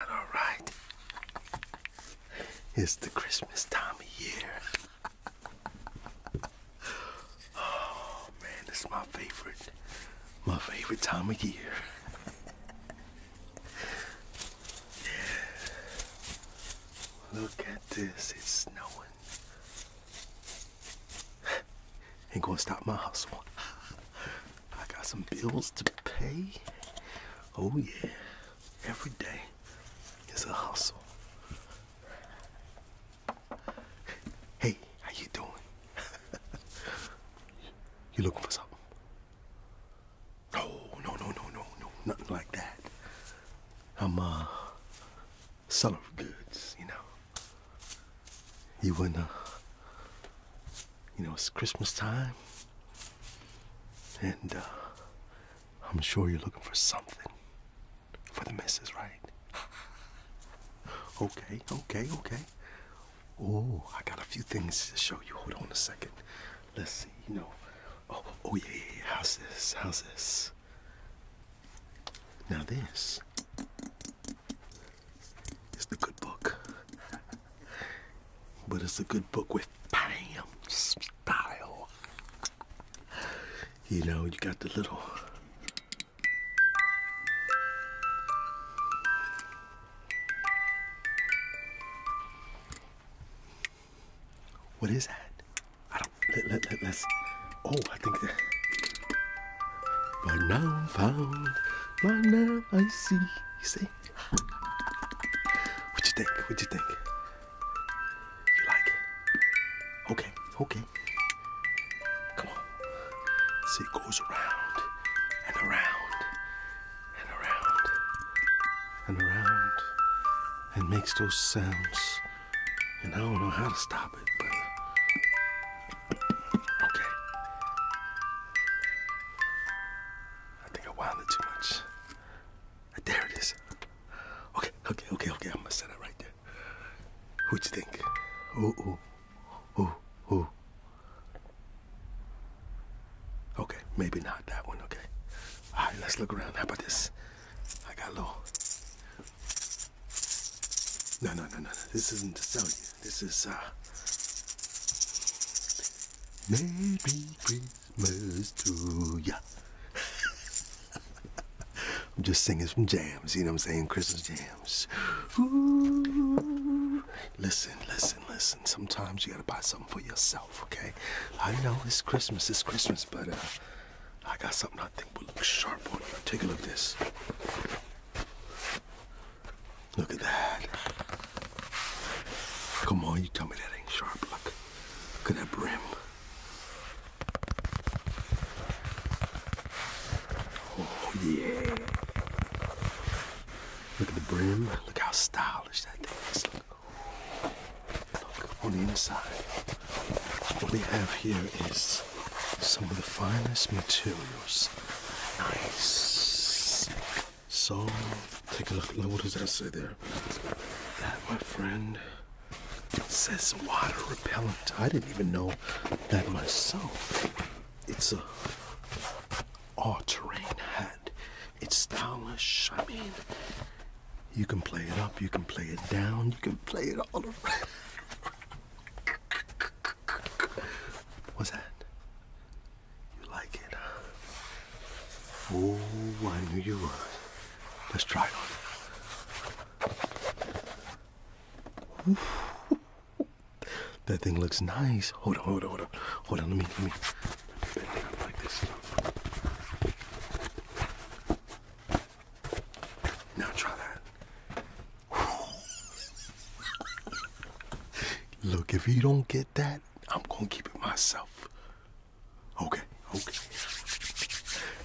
All right. It's the Christmas time of year. oh man, this my favorite. My favorite time of year. Look at this. It's snowing. Ain't gonna stop my hustle. I got some bills to pay. Oh, yeah. Every day is a hustle. Hey, how you doing? you looking for something? Oh, no, no, no, no, no. Nothing like that. I'm, uh, selling goods, you know. You wouldn't, uh, you know, it's Christmas time. And uh, I'm sure you're looking for something for the missus, right? okay, okay, okay. Oh, I got a few things to show you. Hold on a second. Let's see, you know. Oh, oh yeah, yeah, yeah. How's this? How's this? Now this. It's a good book. but it's a good book with bam style. You know, you got the little What is that? I don't let, us Oh, I think that But now I'm found, but now I see. see? What you think? What you think? You like it? Okay, okay. Come on. See, it goes around and around and around and around and makes those sounds. And I don't know how to stop it, but. Okay. I think I wound it too much. Ah, there it is. Okay, okay, okay, okay. I'm gonna set it right there. What you think? Ooh, ooh, ooh, ooh. Okay, maybe not that one. Okay. All right, let's look around. How about this? I got a little. No, no, no, no, no. This isn't the sell you. This is uh Merry Christmas to ya. I'm just singing some jams, you know what I'm saying? Christmas jams. Ooh. Listen, listen, listen. Sometimes you gotta buy something for yourself, okay? I know it's Christmas, it's Christmas, but uh, I got something I think will look sharp on you. Take a look at this. Look at that. Come on, you tell me that ain't sharp. Look, look at that brim. Oh, yeah. Look at the brim. Look how stylish that thing is. Look, look on the inside. What we have here is some of the finest materials. Nice. So, take a look. what does that say there? That, my friend, says water repellent. I didn't even know that myself. It's a all-terrain hat. It's stylish. I mean, you can play it up, you can play it down, you can play it all around. What's that? You like it? Oh, I knew you would. Let's try it on. that thing looks nice. Hold on, hold on, hold on. Hold on, let me, let me, let like this. Now try that. Look, if you don't get that, I'm gonna keep it myself. Okay, okay.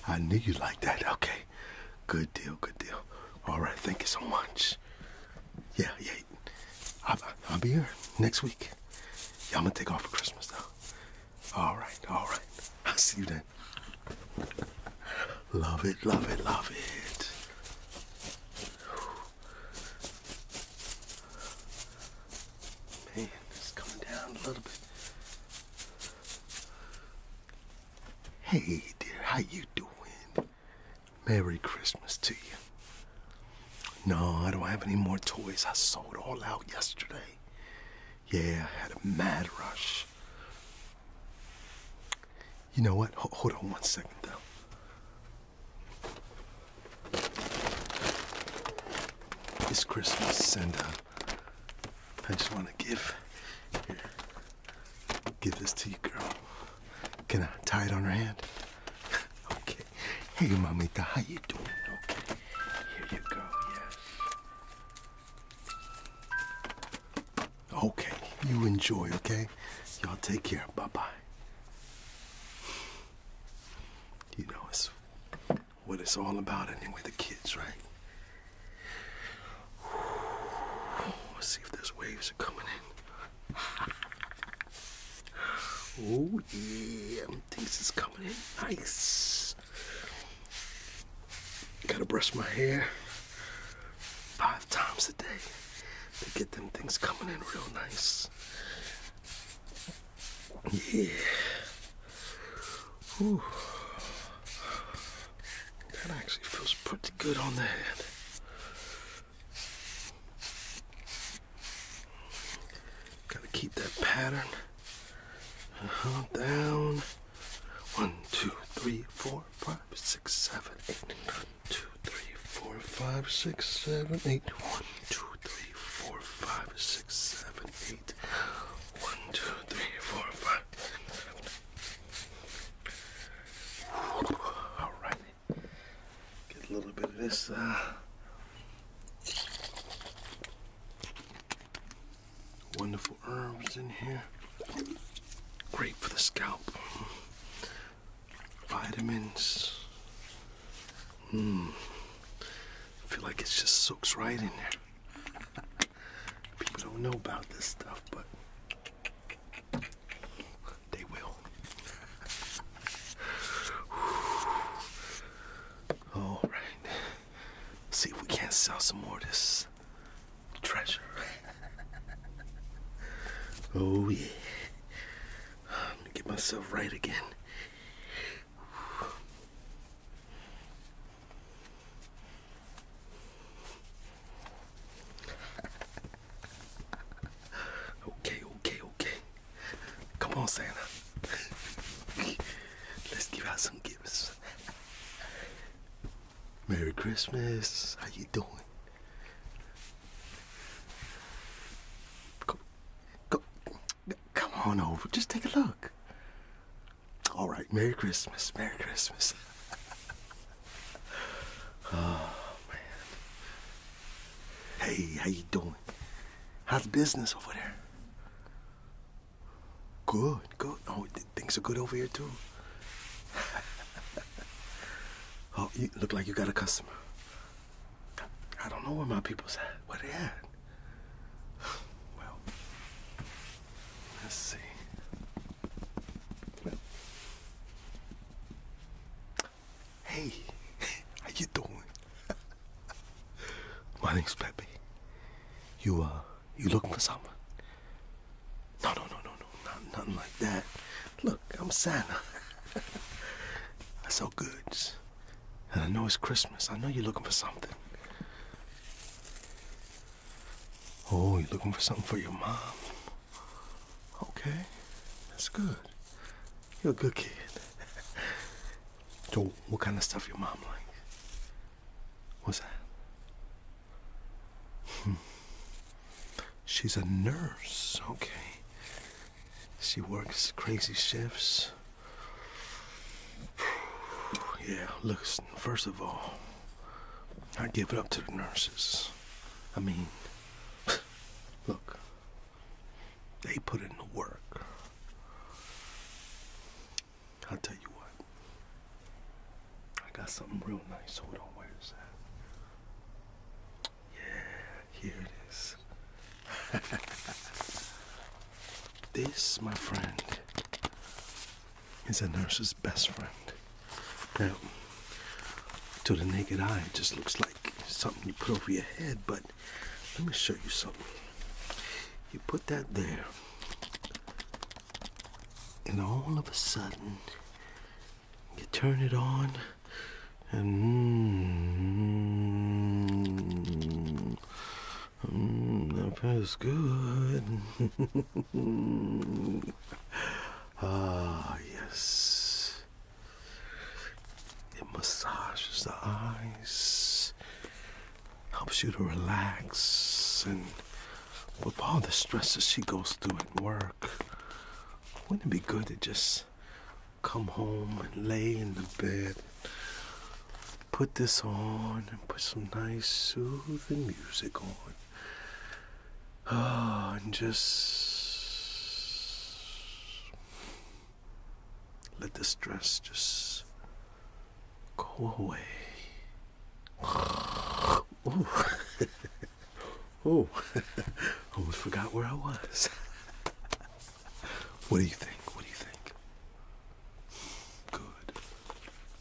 I knew you like that. Okay. Good deal, good deal. All right, thank you so much. Yeah, yeah. I'll, be here next week. Yeah, I'm gonna take off for Christmas though. All right, all right. I'll see you then. love it, love it, love it. Man, it's coming down a little bit. Hey dear, how you doing? Merry Christmas to you. No, I don't have any more toys. I sold all out yesterday. Yeah, I had a mad rush. You know what? hold on one second, though. It's Christmas, and uh, I just want to give here, give this to you, girl. Can I tie it on her hand? okay. Hey, mamita, how you doing? Okay. Here you go. Yes. Okay, you enjoy, okay? Y'all take care. Bye bye. You know, it's what it's all about anyway, the kids, right? Let's see if those waves are coming in. Oh, yeah, things is coming in nice. Gotta brush my hair five times a day to get them things coming in real nice. Yeah. Ooh. That actually feels pretty good on the head. Gotta keep that pattern. Uh-huh, down. One, two, three, four, five, six, seven, eight two, three, four, five, six, seven, eight. One, two, three, four, five, six, seven, eight. One, two, three, four, five, six, seven. All right. Get a little bit of this. Uh, wonderful herbs in here. Great for the scalp. Vitamins. Mmm. I feel like it just soaks right in there. People don't know about this stuff, but they will. All right. See if we can't sell some more of this treasure. oh yeah. I'm gonna get myself right again. okay, okay, okay. Come on, Santa. Let's give out some gifts. Merry Christmas. How you doing? Go, go, come on over. Just take a look. All right. Merry Christmas. Merry Christmas. oh man. Hey, how you doing? How's business over there? Good. Good. Oh, things are good over here too. oh, you look like you got a customer. I don't know where my people's at. Where they at? Well, let's see. hey, how you doing? my name's Pepe. You uh, you looking for someone? No, no, no, no, no, not, nothing like that. Look, I'm Santa. I sell goods. And I know it's Christmas. I know you're looking for something. Oh, you're looking for something for your mom. Okay, that's good. You're a good kid. so, what kind of stuff your mom like? What's that? She's a nurse, okay. She works crazy shifts. Yeah, look. first of all, I give it up to the nurses. I mean, look, they put in the work. I'll tell you what, I got something real nice. so Hold on, where is that? Yeah, here it is. this, my friend, is a nurse's best friend. Now, to the naked eye, it just looks like something you put over your head, but let me show you something. You put that there and all of a sudden, you turn it on, and mmm, that feels good. ah, yes. It massages the eyes, helps you to relax, and with all the stresses she goes through at work, wouldn't it be good to just come home and lay in the bed, put this on, and put some nice soothing music on? Oh, and just let the stress just go away. Oh, oh, almost forgot where I was. what do you think? What do you think? Good,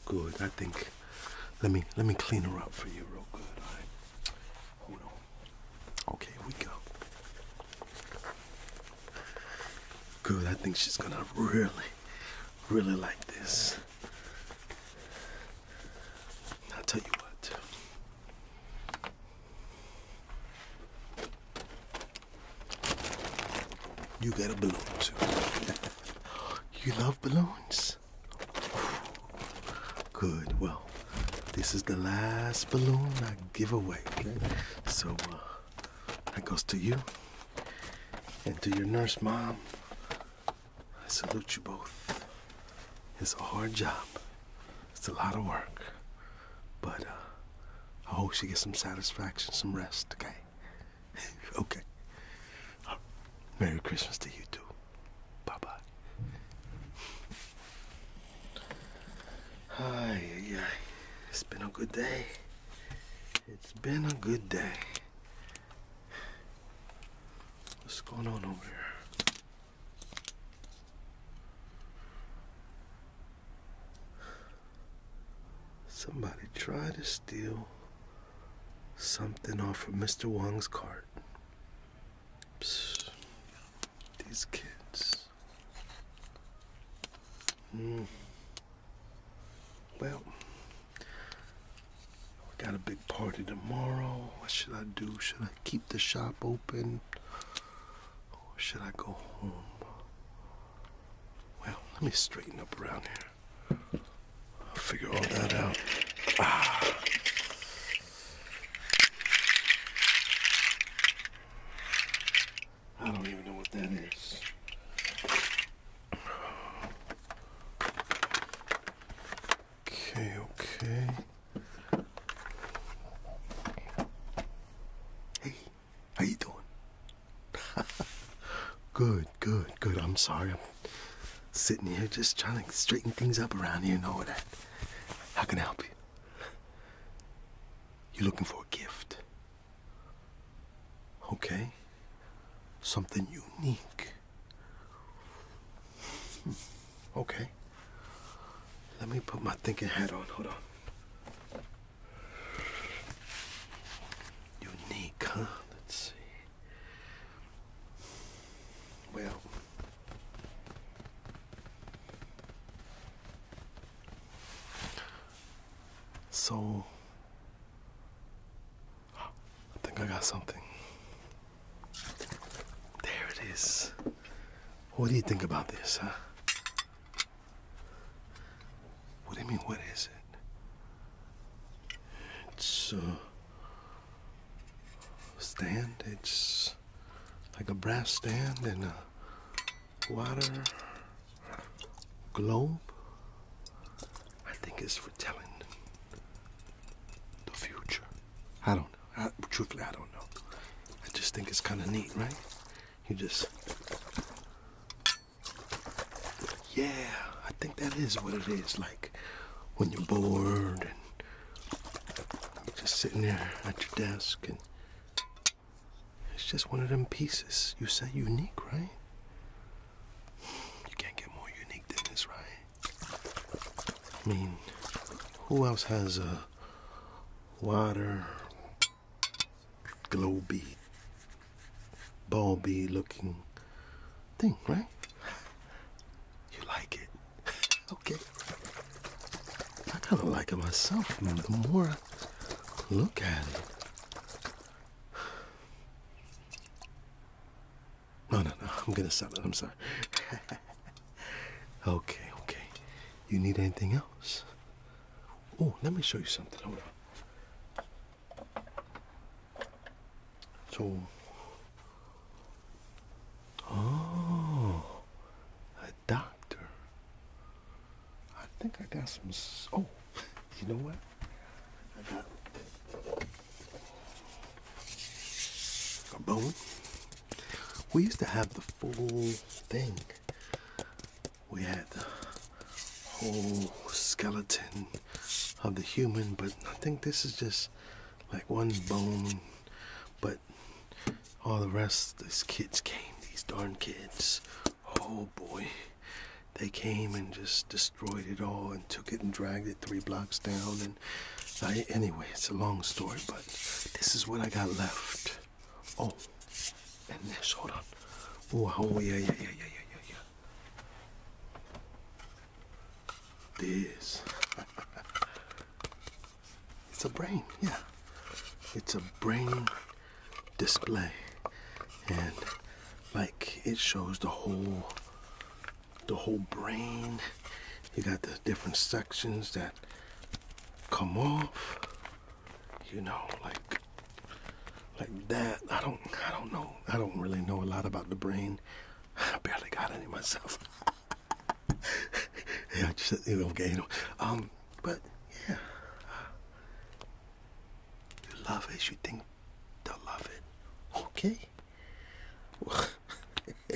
good. I think. Let me let me clean her up for you real good. Hold on. Okay, here we go. Good. I think she's gonna really, really like this. I'll tell you what. You got a balloon too. you love balloons? Good. Well, this is the last balloon I give away. So uh, that goes to you and to your nurse mom I salute you both. It's a hard job. It's a lot of work. But uh, I hope she gets some satisfaction, some rest, okay? okay. Uh, Merry Christmas to you too. Bye bye. Ay, ay, It's been a good day. It's been a good day. What's going on over here? Somebody tried to steal something off of Mr. Wong's cart. These kids. Mm. Well, we got a big party tomorrow. What should I do? Should I keep the shop open? Or should I go home? Well, let me straighten up around here. I'll figure all that out. Ah. I don't even know what that is. Okay, okay. Hey, how you doing? good, good, good. I'm sorry. I'm sitting here just trying to straighten things up around here and all that. How can I help you? You are looking for a gift? Okay? Something unique. Hmm. Okay. Let me put my thinking hat on. Hold on. Unique, huh? Let's see. Well. So, I think I got something. There it is. What do you think about this, huh? What do you mean, what is it? It's uh, a stand. It's like a brass stand and a uh, water globe, I think, is telling the future. I don't know. truthfully, I don't know. I just think it's kind of neat, right? You just. Yeah, I think that is what it is. Like when you're bored and just sitting there at your desk, and it's just one of them pieces. You said unique, right? You can't get more unique than this, right? I mean, who else has a water glow bead, ball bead looking thing, right? You like it? Okay. I kind of like it myself. The more I look at it, no, no, no. I'm gonna stop it. I'm sorry. okay, okay. You need anything else? Oh, let me show you something. Hold on. So. Oh, a doctor. I think I got some. Oh, you know what? I got We used to have the full thing. We had the whole skeleton of the human, but I think this is just like one bone. But all the rest, these kids came, these darn kids. Oh boy. They came and just destroyed it all and took it and dragged it three blocks down. And I, anyway, it's a long story, but this is what I got left. Oh, and this, hold on. Oh, oh yeah, yeah, yeah, yeah, yeah, yeah, yeah. This. it's a brain, yeah. It's a brain display and like it shows the whole the whole brain you got the different sections that come off you know like like that i don't i don't know i don't really know a lot about the brain i barely got any myself yeah I just you know okay um but yeah you love it. you think they'll love it. Okay?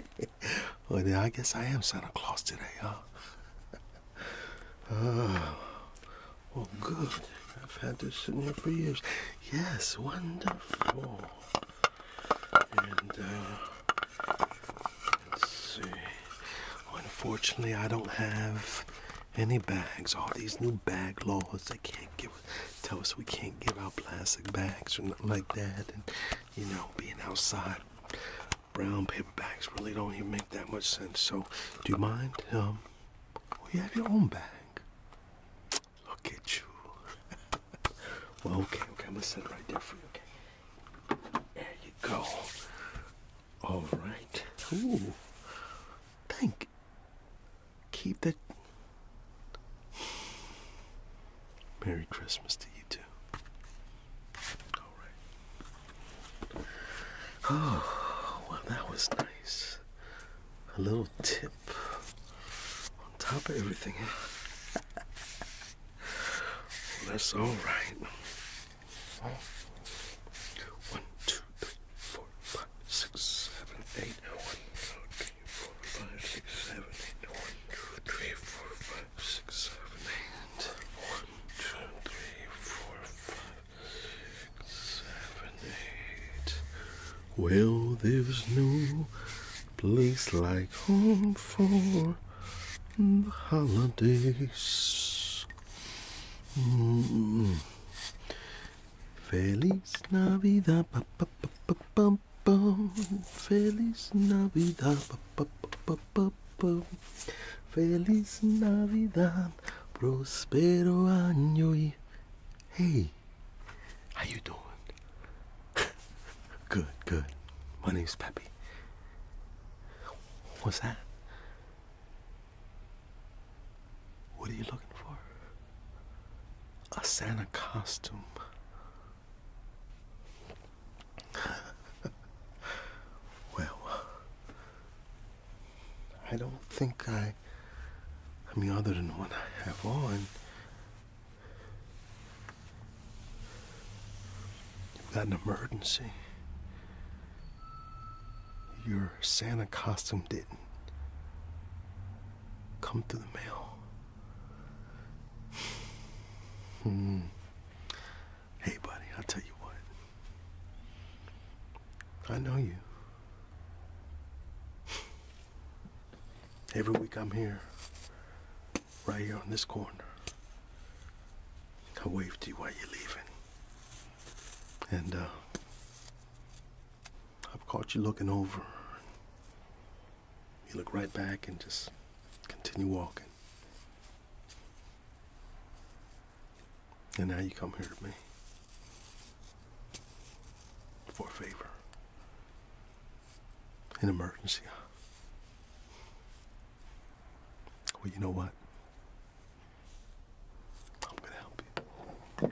well, then I guess I am Santa Claus today, huh? oh, well, good. I've had this sitting here for years. Yes, wonderful. And, uh, let's see. unfortunately, I don't have any bags. All these new bag laws. They can't give tell us we can't give out plastic bags or nothing like that. And you know, being outside, brown paper bags really don't even make that much sense. So, do you mind? Um, you have your own bag. Look at you. well, okay, okay. I'm gonna sit right there for you. Okay. There you go. All right. Ooh. Thank. Keep that. Merry Christmas to you too. All right. Oh, well, that was nice. A little tip on top of everything. that's all right. One, two, three, four, five, six, seven, eight. One, two, three, four, five, six, seven, eight. One, two, three, four, five, six, seven, eight. Well, there's no place like home for the holidays. Mm-hmm. Feliz Navidad, ba, ba, ba, ba, ba, ba. Feliz Navidad, ba, ba, ba, ba, ba. Feliz Navidad, prospero año hey, how you doing? good, good. My name's Peppy. What's that? What are you looking for? A Santa costume. well, I don't think I. I mean, other than what I have on. You've got an emergency. Your Santa costume didn't come through the mail. hmm. Hey, buddy, I'll tell you what. I know you. Every week I'm here, right here on this corner. I waved to you while you're leaving. And uh, I've caught you looking over. You look right back and just continue walking. And now you come here to me for a favor, an emergency. Well, you know what? I'm going to help you.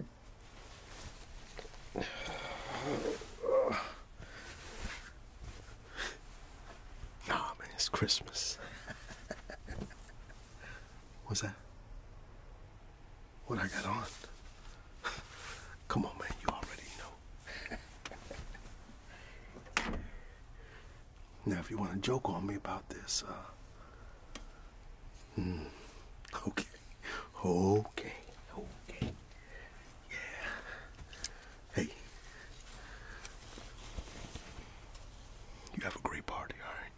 Nah, man, it's Christmas. What's that? What I got on? Come on, man, you already know. Now, if you want to joke on me about this, uh, mm, okay, okay, okay, yeah. Hey, you have a great party, all right?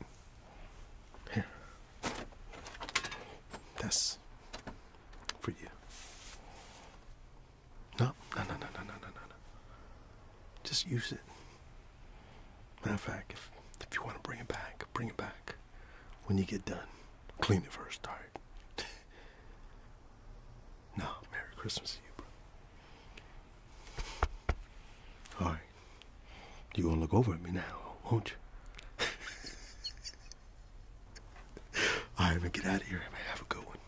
Here, that's for you. No, no, no, no, no, no, no, no. Just use it. Matter of fact, if, if you want to bring it back, bring it back when you get done. Clean it first, all right? no, Merry Christmas to you, bro. All right. You gonna look over at me now, won't you? all right, man, get out of here, man. Have a good one.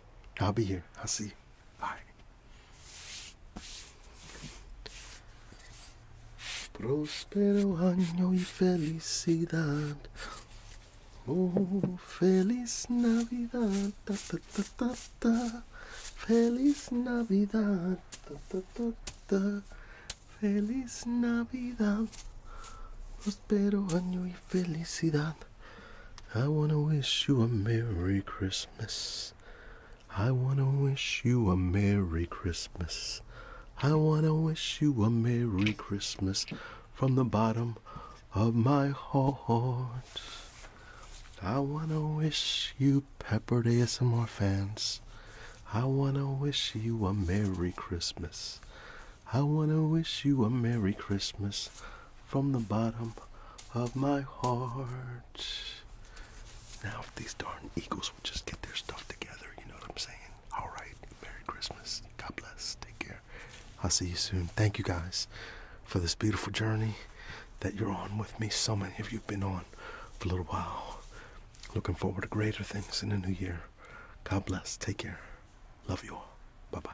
I'll be here. I'll see you. Bye. Próspero año y felicidad. Oh, feliz Navidad. Ta, ta, ta, ta, ta. Feliz Navidad. Ta, ta, ta, ta. Feliz Navidad. Prospero año y felicidad. I want to wish you a Merry Christmas. I want to wish you a Merry Christmas. I want to wish you a Merry Christmas from the bottom of my heart. I want to wish you peppered ASMR fans. I want to wish you a Merry Christmas. I want to wish you a Merry Christmas from the bottom of my heart. Now, if these darn Eagles would just get their stuff together, you know what I'm saying? All right. Merry Christmas. God bless. Take care. I'll see you soon. Thank you guys for this beautiful journey that you're on with me. So many of you have been on for a little while. Looking forward to greater things in the new year. God bless. Take care. Love you all. Bye bye.